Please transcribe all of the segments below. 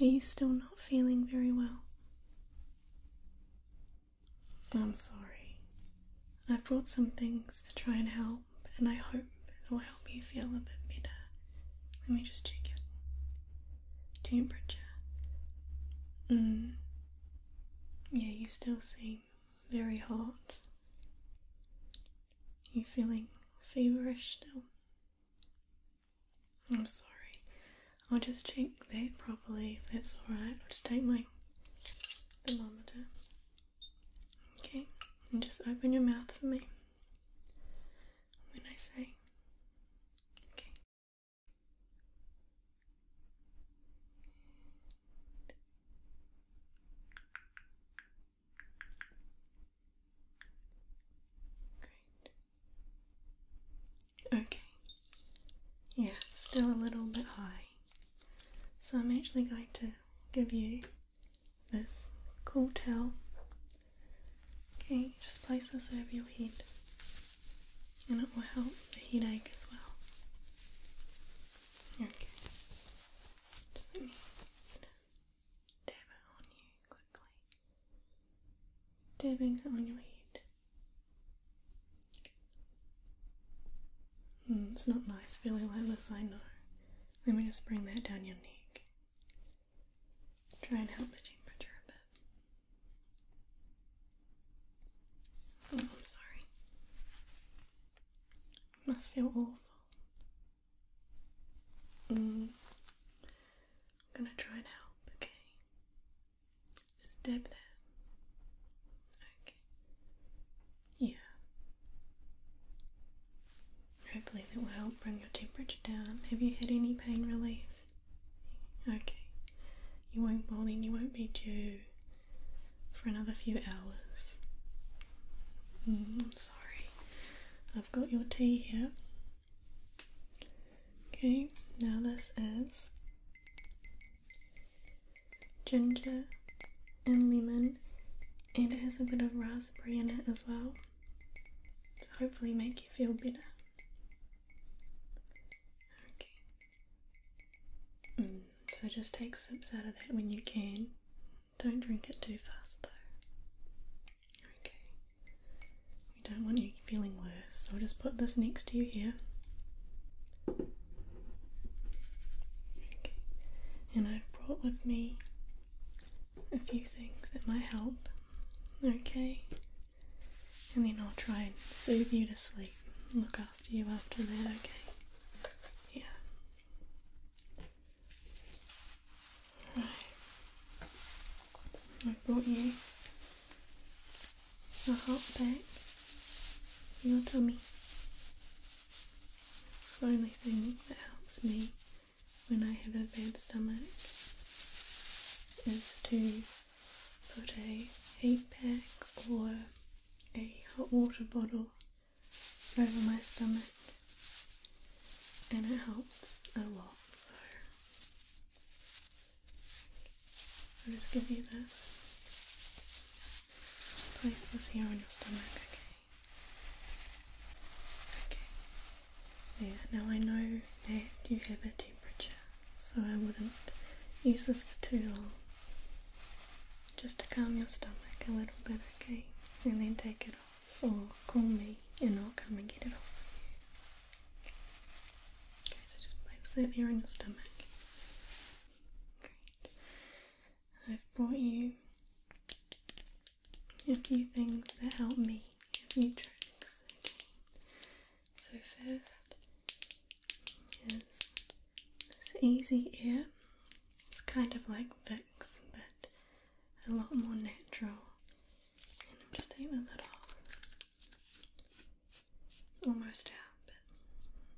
Are you still not feeling very well? I'm sorry. I brought some things to try and help, and I hope it will help you feel a bit better. Let me just check it. Temperature. Mm. Yeah, you still seem very hot. You feeling feverish still? I'm sorry. I'll just check that properly. If that's all right. I'll just take my thermometer. Okay, and just open your mouth for me when I say. Okay. Great. Okay. Yeah, still a little bit high. So I'm actually going to give you this cool towel. Okay, just place this over your head and it will help the headache as well. Okay. Just let me dabbing on you quickly, dabbing on your head. Hmm, it's not nice feeling like this, I know. Let me just bring that down your neck. Try and help the temperature a bit. Oh, I'm sorry. must feel awful. Mm. I'm gonna try and help, okay? Just dab there. Okay. Yeah. Hopefully that will help bring your temperature down. Have you had any pain relief? Okay. You won't well then you won't be due for another few hours. Mm, I'm sorry. I've got your tea here. Okay, now this is ginger and lemon, and it has a bit of raspberry in it as well to hopefully make you feel better. Okay. Mm, so just take sips out of that when you can. Don't drink it too fast though. Okay. We don't want you feeling worse, I'll just put this next to you here. Okay. And I've brought with me a few things that might help. Okay. And then I'll try and soothe you to sleep. Look after you after that, okay? Yeah. I brought you a hot bag for your tummy. It's the only thing that helps me when I have a bad stomach is to put a heat pack or a hot water bottle over my stomach and it helps a lot. So I'll just give you this. Just place this here on your stomach, okay? Okay. Yeah, now I know that you have a temperature, so I wouldn't use this for too long. Just to calm your stomach a little bit, okay? And then take it off or call me and I'll come and get it for you. Okay, so just place that here on your stomach. Great. I've brought you a few things that help me, a few tricks. Okay. So first is this easy air it's kind of like Vicks, but a lot more natural. And I'm just taking the lid off. It's almost out, but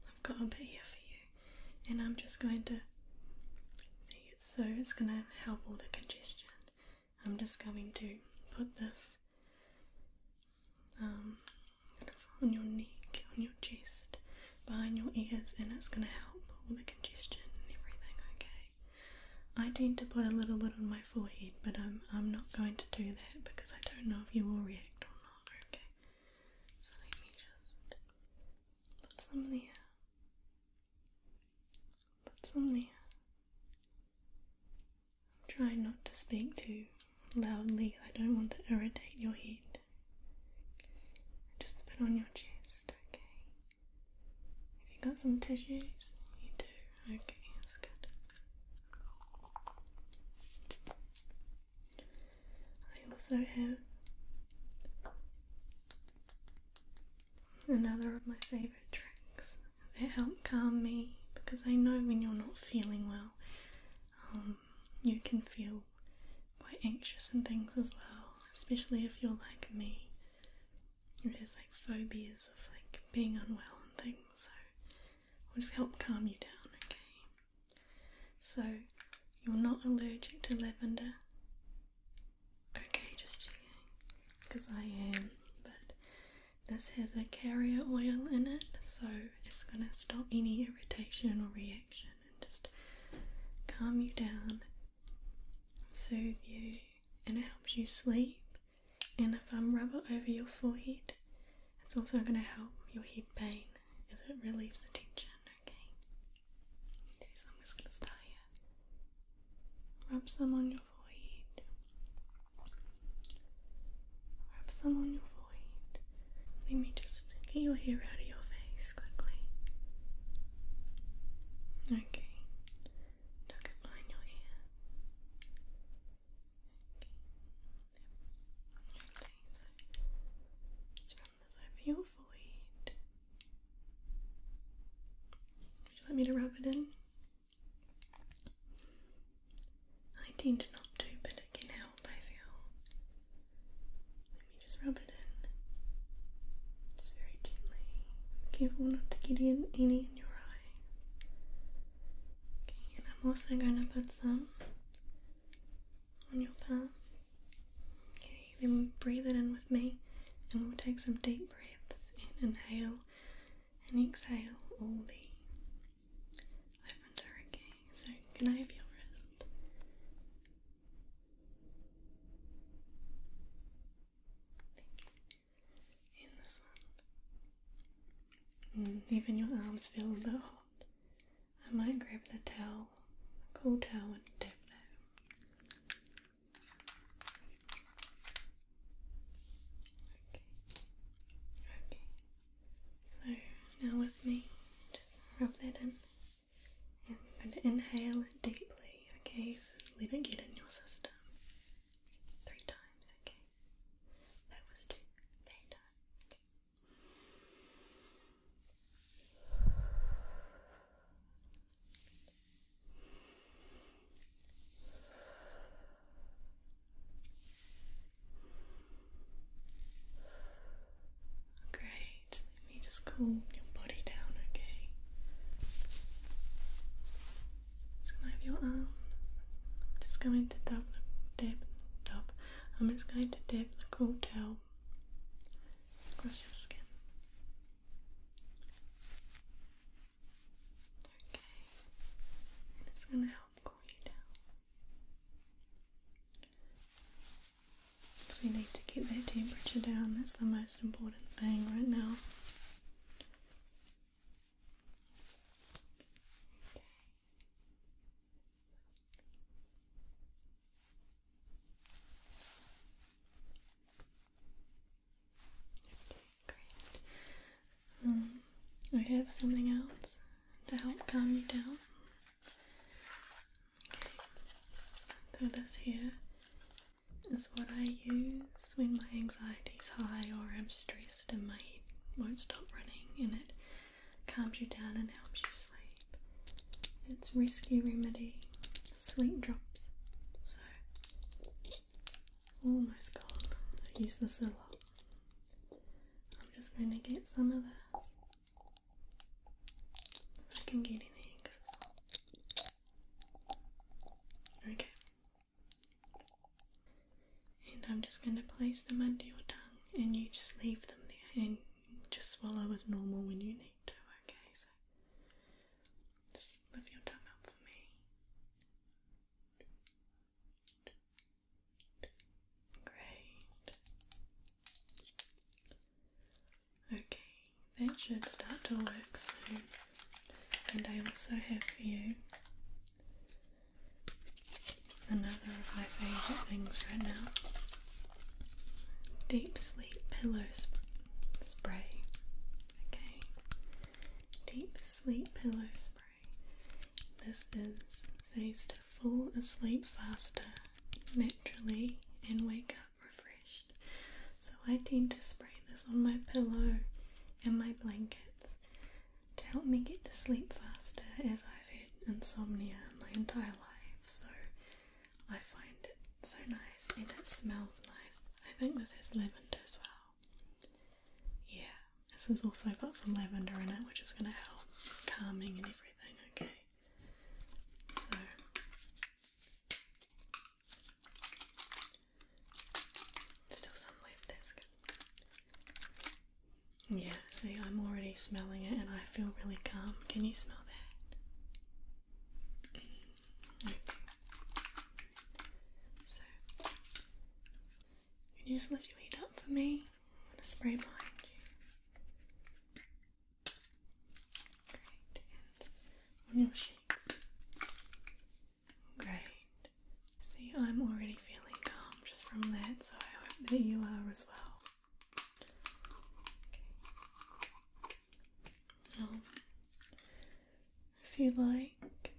I've got a bit here for you. And I'm just going to see it so it's going to help all the congestion. I'm just going to put this um, on your neck, on your chest, behind your ears and it's going to help all the congestion and everything, okay? I tend to put a little bit on my forehead, but I'm, I'm not going to do that because I don't know if you will react or not, okay? So let me just put some there. Put some there. I'm trying not to speak too loudly. I don't want to irritate your head just a bit on your chest, okay? If you got some tissues? You do, okay, that's good. I also have another of my favourite drinks that help calm me because I know when you're not feeling well. Um, you can feel quite anxious and things as well, especially if you're like me. It has like phobias of like being unwell and things, so i will just help calm you down, okay? So you're not allergic to lavender. Okay, just checking, because I am. But this has a carrier oil in it, so it's going to stop any irritation or reaction just calm you down, soothe you, and it helps you sleep. And if a rub it over your forehead, it's also going to help your head pain as it relieves the tension. Okay, okay so I'm just going to start here. Rub some on your forehead. Rub some on your forehead. Let me just get your hair out of your face quickly. Okay. Tuck it behind your ear. Okay. Okay, just run this over your forehead. Would you like me to rub it in? I tend not to, but sticking out, I feel. Let me just rub it in. Just very gently. Careful not to get in any in your eye. Okay, and I'm also gonna put some on your palm. Okay, then breathe it in with me and we'll take some deep breaths and inhale and exhale all the lavender okay. So can I have your wrist? Mm, even your arms feel a bit hot. I might grab the towel, a cool towel, and dip that. Okay. Okay. So now with me, just rub that in. I'm going to inhale deeply, okay? So let it get in your system. Three times, okay? That was two. Three times. Great. Let me just cool your body down, okay? Just going have your arms. I'm just going to dab, dip, dab. I'm just going to dip the cool towel across your skin. Okay. it's gonna help cool you down. Because we need to get that temperature down, that's the most important thing right now. Okay. great. Um, I have something else to help calm you down. So this here is what I use when my anxiety's high or I'm stressed and my won't stop running and it calms you down and helps you sleep. It's risky Remedy Sleep Drops. So almost gone. I use this a lot. I'm just going to get some of this Sakın gelin en kısası. Okay. And I'm just going to place them under your tongue and you just leave them there and just swallow as normal when you need to, okay? So lift your tongue up for me. Great. Okay, that should start to work soon. And I also have for you another of my favourite things right now deep sleep pillow spray. Okay, deep sleep pillow spray. This is says to fall asleep faster naturally and wake up refreshed. So I tend to spray this on my pillow and my blankets to help me get to sleep faster as I've had insomnia my entire life. So I find it so nice and it smells nice. I think this has lavender as well. Yeah, this has also got some lavender in it, which is going to help calming and everything, okay? So still some left, Yeah, see I'm already smelling it and I feel really calm. Can you smell that? So can you just lift your weight up for me? I'm gonna spray behind you. Great. on your cheeks. Great. See, I'm already feeling calm just from that, so I hope that you are as well. Okay. Now, if you like,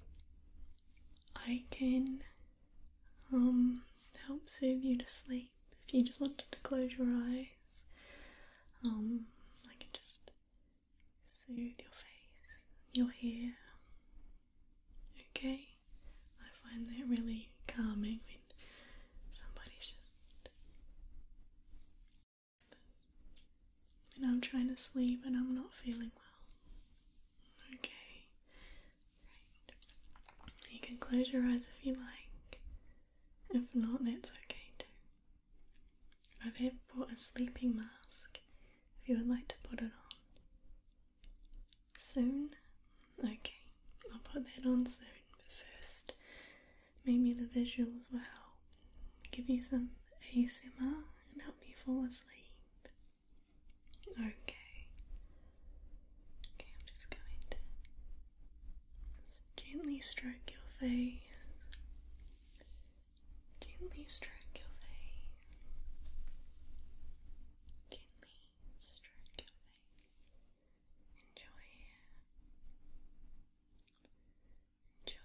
I can um, help soothe you to sleep. If you just wanted to close your eyes, um, I can just soothe your face, your hair. Okay, I find that really calming when somebody's just. When I'm trying to sleep and I'm not feeling well, Okay. You can close your eyes if you like. If not, that's okay too. I've have brought a sleeping mask if you would like to put it on. Soon? Okay, I'll put that on soon, but first, maybe the visuals will help give you some ASMR and help you fall asleep. Okay. Okay, I'm just going to gently stroke your face. Gently stroke your face. Gently stroke your face. Enjoy Enjoy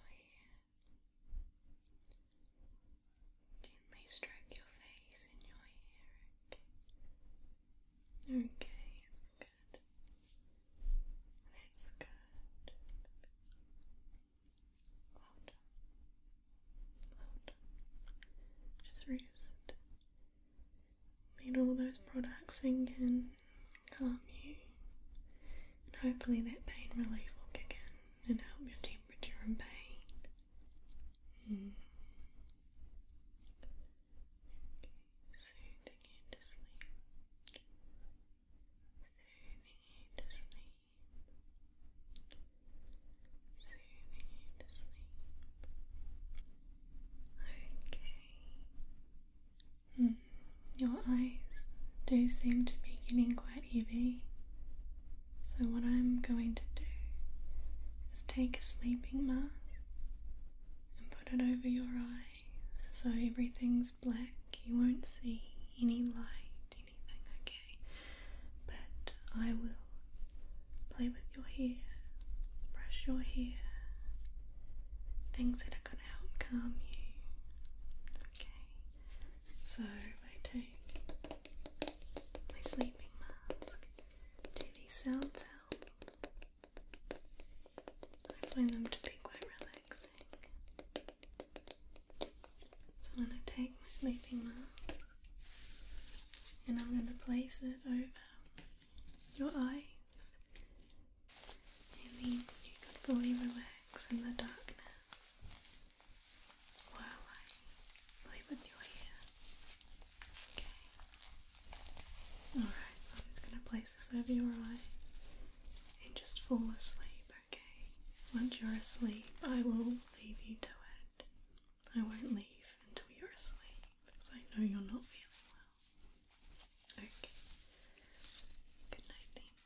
Gently stroke your face and your hair, okay? Okay, it's good. It's good. Well done. Well done. Just rest. Let all those products sink in, calm you, and hopefully that pain relief will kick in and help your temperature and pain soothing you to sleep. Soothing you to sleep. Soothing you to sleep. Okay. Mm. Your eyes do seem to be getting quite heavy. So, what I'm going to do is take a sleeping mask and put it over your eyes so everything's black, you won't see any light, anything, okay? But I will play with your hair, brush your hair, things that are going to help calm you, okay? So, I take my sleeping mask. Do these sounds help? I find them to be quite relaxing. So i take my sleeping mouth and I'm going to place it over your eyes. And you can fully relax in the darkness while I play with your hair. Okay. Alright, so I'm just going to place this over your eyes and just fall asleep, okay? Once you're asleep, I will leave you to it. I won't leave until you're asleep because I know you're not feeling well. Okay. Good night then.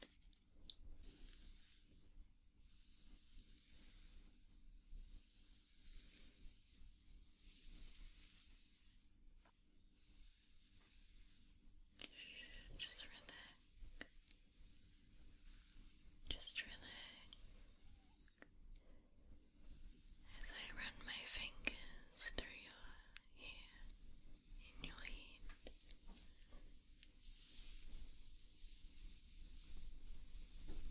Just relax. Just relax. As I run my fingers through your hair in your head, just relax, relax.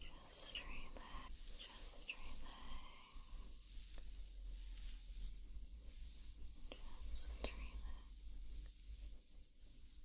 Just relax, just relax. Just relax. Just relax.